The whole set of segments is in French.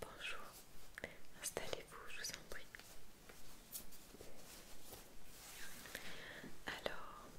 Bonjour, installez-vous, je vous en prie. Alors,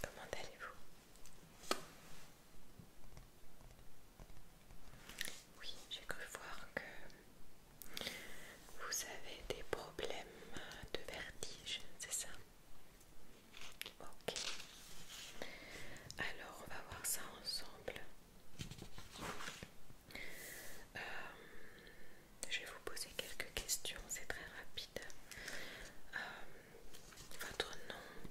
comment allez-vous oui, j'ai cru voir que vous avez des problèmes de vertige, c'est ça Ok. Alors, on va voir ça ensemble. Euh, je vais vous poser quelques questions, c'est très rapide. Euh, votre nom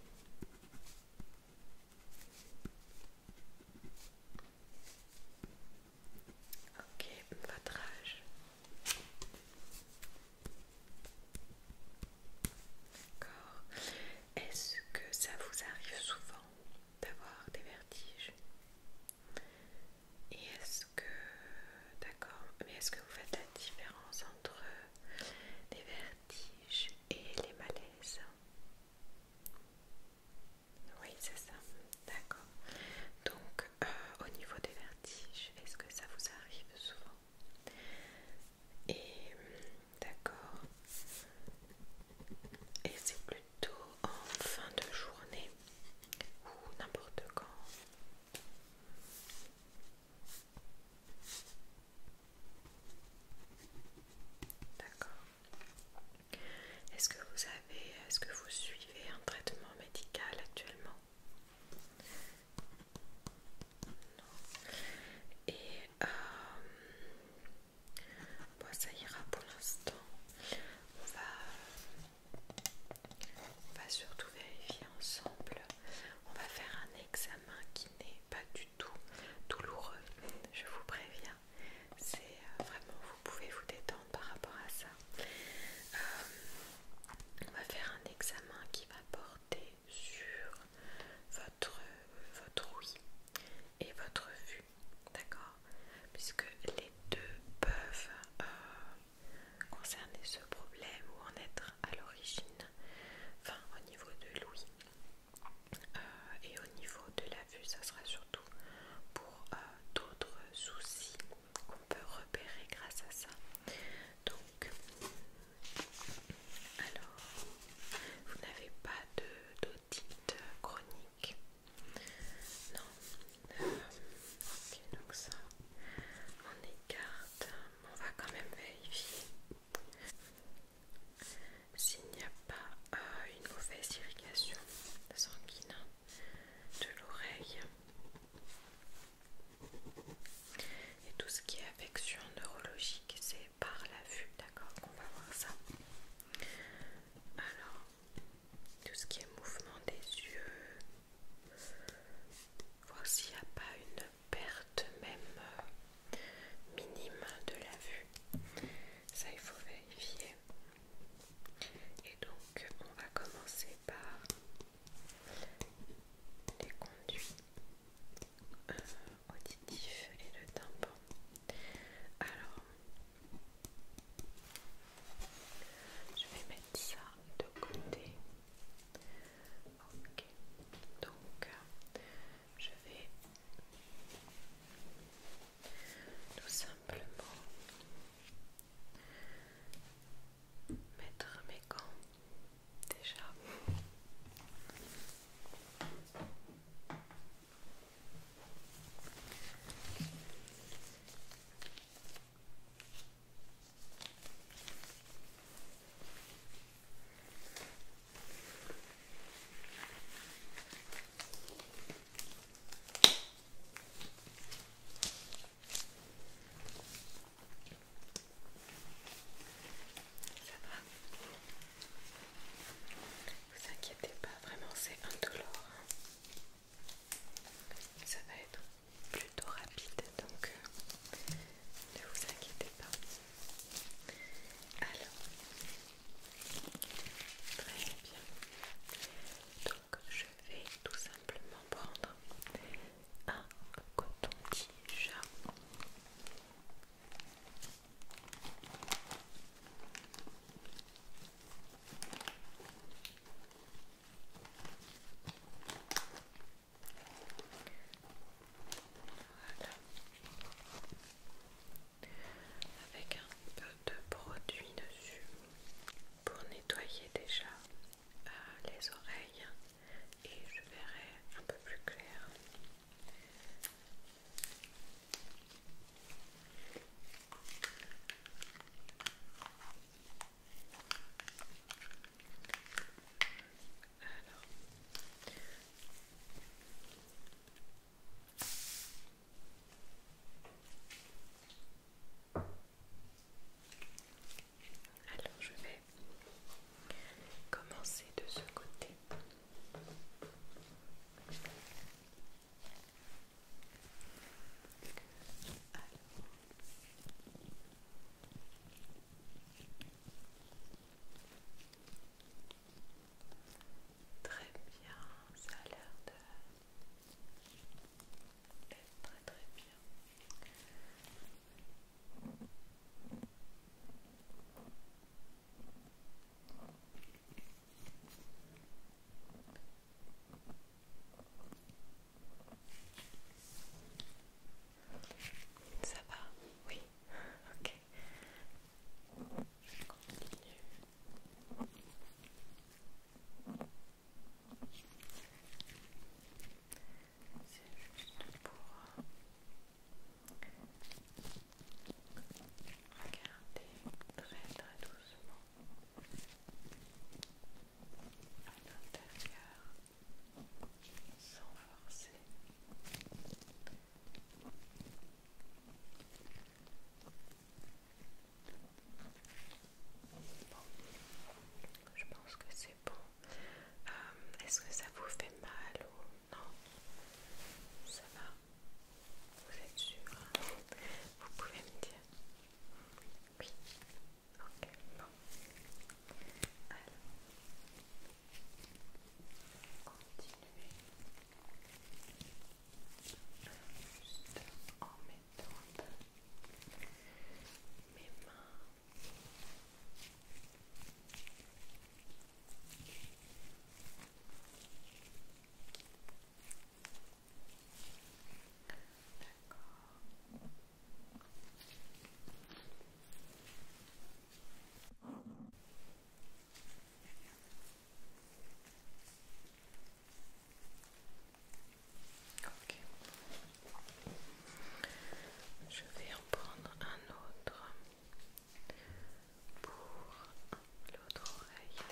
Ok, votre âge. D'accord. Est-ce que ça vous arrive souvent d'avoir des vertiges Et est-ce que... D'accord. Mais est-ce que vous faites la différence entre des vertiges et les malaises. Oui, c'est ça, d'accord. Donc, euh, au niveau des vertiges, est-ce que ça vous arrive souvent Et d'accord. Et c'est plutôt en fin de journée ou n'importe quand D'accord. Est-ce que vous avez, est-ce que vous suivez un traitement médical actuellement Non. Et euh, ça ira pour l'instant. On va, on va surtout vérifier ensemble. On va faire un examen qui n'est pas du tout tout douloureux, je vous préviens. C'est euh, vraiment, vous pouvez vous détendre par rapport à ça. Euh, on va faire un examen qui va porter sur votre, votre et votre vue, d'accord Puisque les deux peuvent euh, concerner ce problème ou en être à l'origine, enfin au niveau de l'ouïe. Euh, et au niveau de la vue, ça sera surtout pour euh, d'autres soucis qu'on peut repérer grâce à ça. Donc, alors, vous n'avez pas d'audit chronique Non. Euh, ok, donc ça, on écarte. On va quand même vérifier. S'il n'y a pas euh, une mauvaise irrigation sanguine hein, de l'oreille et tout ce qui est affection neurologique, c'est par la vue, d'accord qu'on va voir ça. Alors, tout ce qui est mouvement des yeux, voir s'il n'y a pas une perte même minime de la vue. Ça, il faut vérifier. Et donc, on va commencer par les conduits euh, auditifs et le tympan. Alors, je vais mettre ça de côté donc je vais tout simplement mettre mes gants déjà. Vous inquiétez pas, vraiment c'est indolore. Ça va être plutôt rapide donc euh, ne vous inquiétez pas. Alors, très bien. Donc, je vais tout simplement prendre un coton-tige. Avec un peu de produit dessus pour nettoyer déjà euh, les oreilles et je verrai un peu plus clair. Alors. Alors je vais commencer de ce côté. Très bien, ça a l'air de être très Très bien. Ça va Oui Ok. Je continue. C'est juste pour regarder très très doucement à l'intérieur sans forcer. je pense que c'est bon. Euh, est-ce que ça vous fait mal ou non Ça va Vous êtes sûr Vous pouvez me dire Oui. Ok, bon. Alors, continuez juste en mettant un peu mes mains D'accord. Je vais en prendre un autre pour l'autre oreille.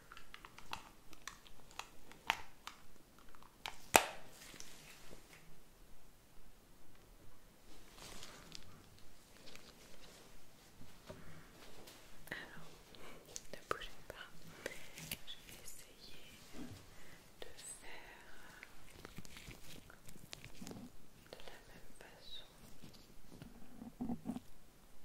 Alors, ne bougez pas. Je vais essayer de faire de la même façon.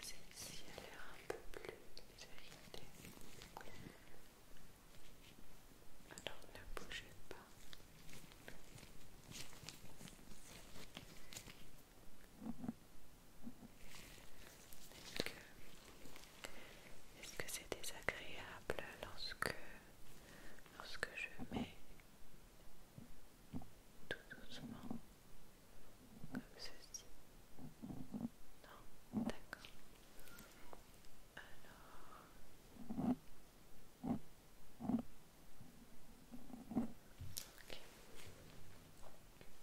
C'est, Celle-ci a l'air un peu plus vérité. Alors ne bougez pas. Est-ce que c'est désagréable lorsque, lorsque je mets tout doucement comme ceci Non, d'accord. Alors...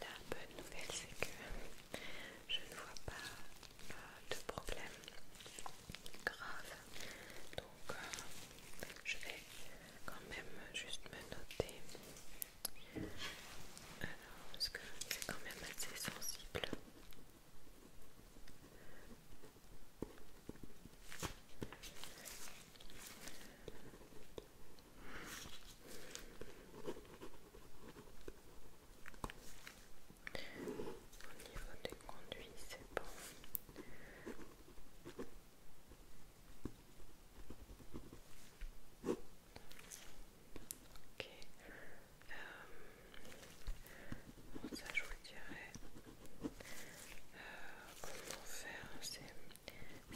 La bonne nouvelle, c'est que je ne vois pas euh, de problème grave. Donc, euh, je vais quand même juste me noter. parce que c'est quand même assez sensible. Au niveau des conduits, c'est bon. Ok. Euh, ça, je vous dirais. Euh, comment faire C'est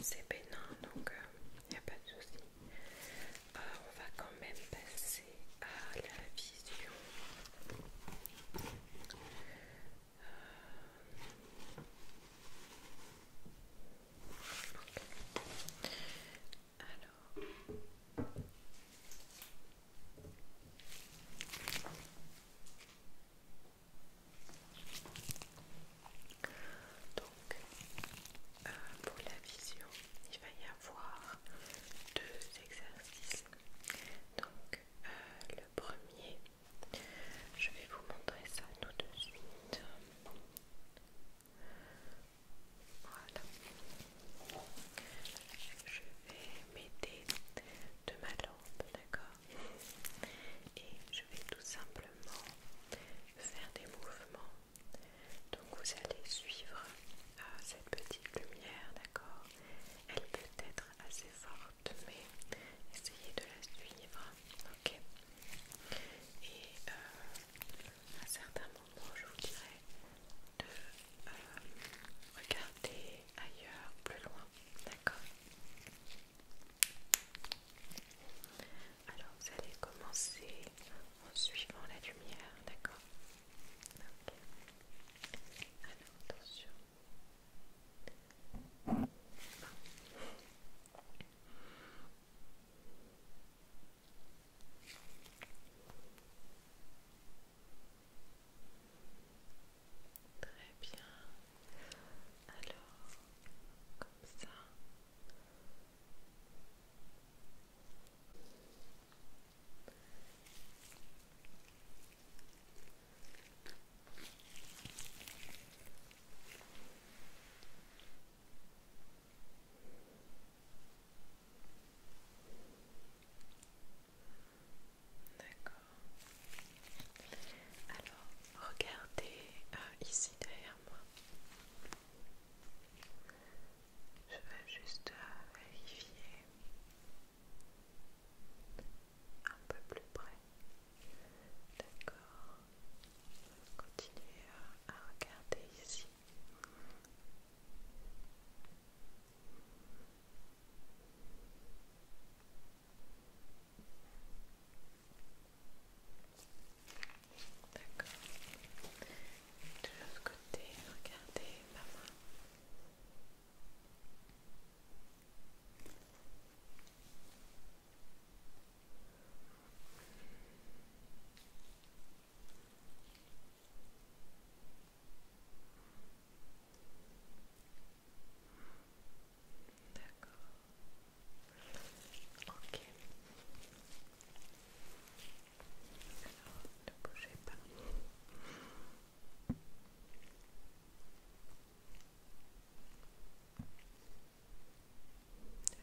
c'est bénin donc il euh, n'y a pas de souci. Euh, on va quand même passer à la vision. Euh, Alors. Donc, euh, pour la vision, il va y avoir deux exercices. Donc, euh, le premier, je vais vous montrer ça tout de suite. Voilà. Je vais m'aider de ma lampe, d'accord Et je vais tout simplement faire des mouvements. Donc vous allez suivre euh, cette petite lumière, d'accord Elle peut être assez forte, mais essayez de la suivre, ok Et euh, à certains moments, je vous dirais de euh, regarder ailleurs, plus loin, d'accord alors vous allez commencer en suivant la lumière, d'accord Alors attention. Très bien. Alors, comme ça. D'accord. Alors, regardez euh, ici derrière je vais juste vérifier un peu plus près. D'accord. continuer à regarder ici. D'accord. De l'autre côté, regardez ma main. D'accord. Ok. ne bougez pas.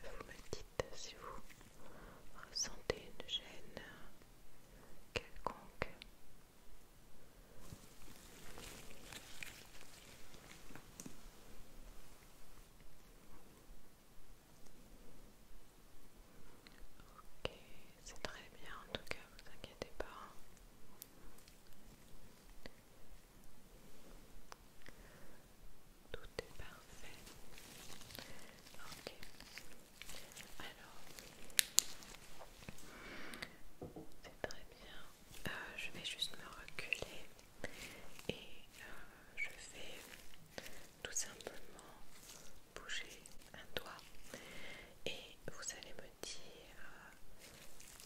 Vous me dites si vous ressentez une gêne quelconque. Ok, c'est très bien en tout cas, vous inquiétez pas. Tout est parfait. Ok. Alors, c'est très bien. Euh, je vais juste me reculer et euh, je vais tout simplement bouger un doigt et vous allez me dire euh,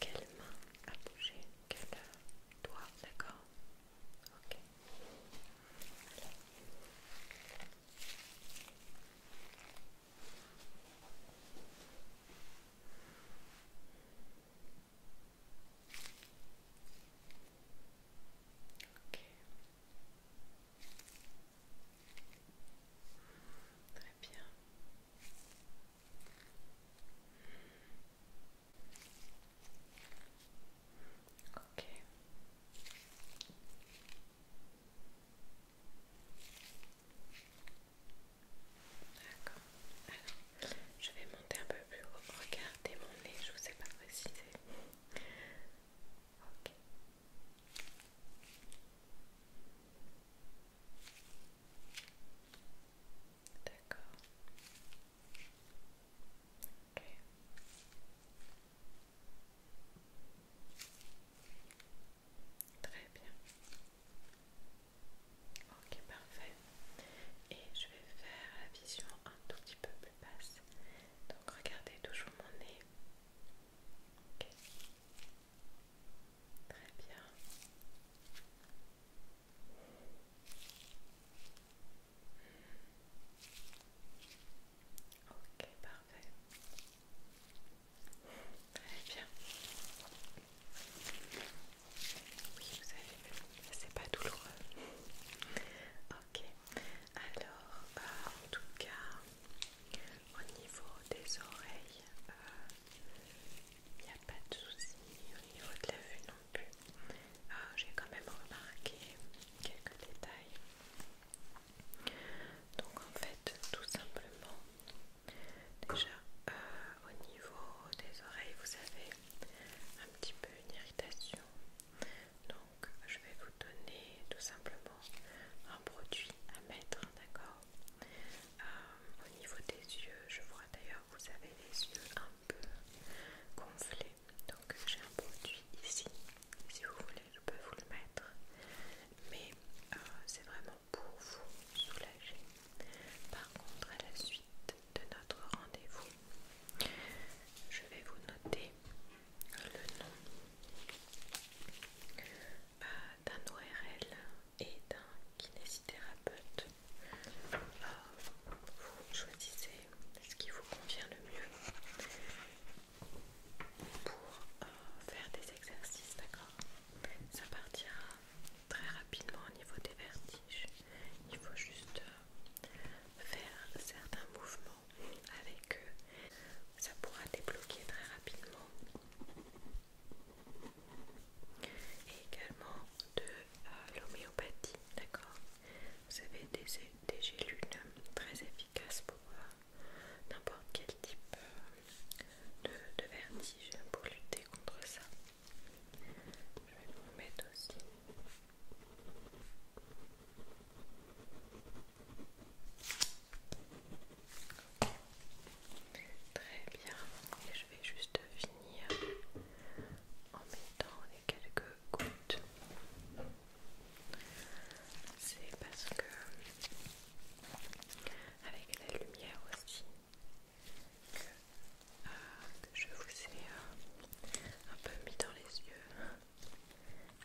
quelle main a bougé, quel doigt, d'accord Ok. Ok. Très bien. Ok. D'accord. je vais monter un peu plus haut. Regardez mon nez, je vous ai pas précisé. Ok. D'accord. Ok. Très bien. Ok, parfait. Et je vais faire la vision un tout petit peu plus basse. Donc regardez toujours mon nez. Ok. Très bien. Ok, parfait. Très bien. Oui, vous avez c'est pas douloureux. Ok, alors euh, en tout cas, au niveau des oreilles, il euh, n'y a pas de souci, au niveau de la vue non plus. Euh, j'ai quand même remarqué quelques détails. Donc en fait, tout simplement, Déjà euh, au niveau des oreilles, vous avez un petit peu une irritation. Donc je vais vous donner tout simplement un produit à mettre, d'accord euh, Au niveau des yeux, je vois d'ailleurs vous avez les yeux un peu gonflés. Donc j'ai un produit ici. Si vous voulez, je peux vous le mettre. Mais euh, c'est vraiment pour vous soulager. Par contre, à la suite de notre rendez-vous, je vais vous noter le nom euh, d'un ORL et d'un kinésithérapeute. Euh, vous choisissez ce qui vous convient le mieux pour euh, faire des exercices, d'accord ça partira très rapidement au niveau des vertiges. Il faut juste euh, faire certains mouvements avec eux. Ça pourra débloquer très rapidement. Et également de euh, l'homéopathie, d'accord Vous avez des, gélules très efficaces pour euh, n'importe quel type de vertige pour lutter contre ça. Je vais vous mettre aussi. Très bien. Et je vais juste finir en mettant les quelques gouttes. C'est parce que avec la lumière aussi, euh, que, je vous ai euh, un peu mis dans les yeux.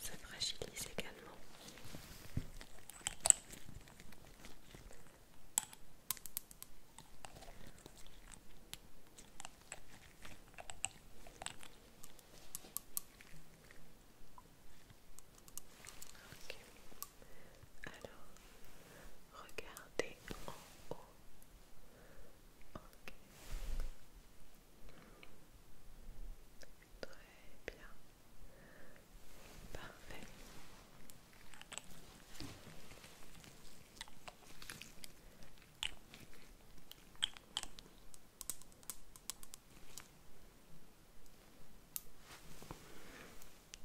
Ça fragilise également. Alors, regardez en haut. Ok. Très bien. Parfait.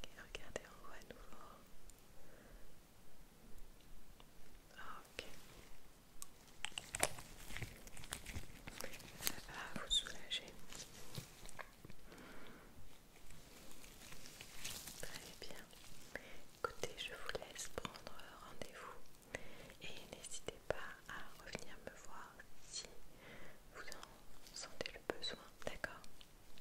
Et regardez en haut à nouveau. Ah, ok. Ça ah, va vous soulager. Très bien. Écoutez, je vous laisse prendre rendez-vous et n'hésitez pas à revenir me voir si vous en sentez le besoin, d'accord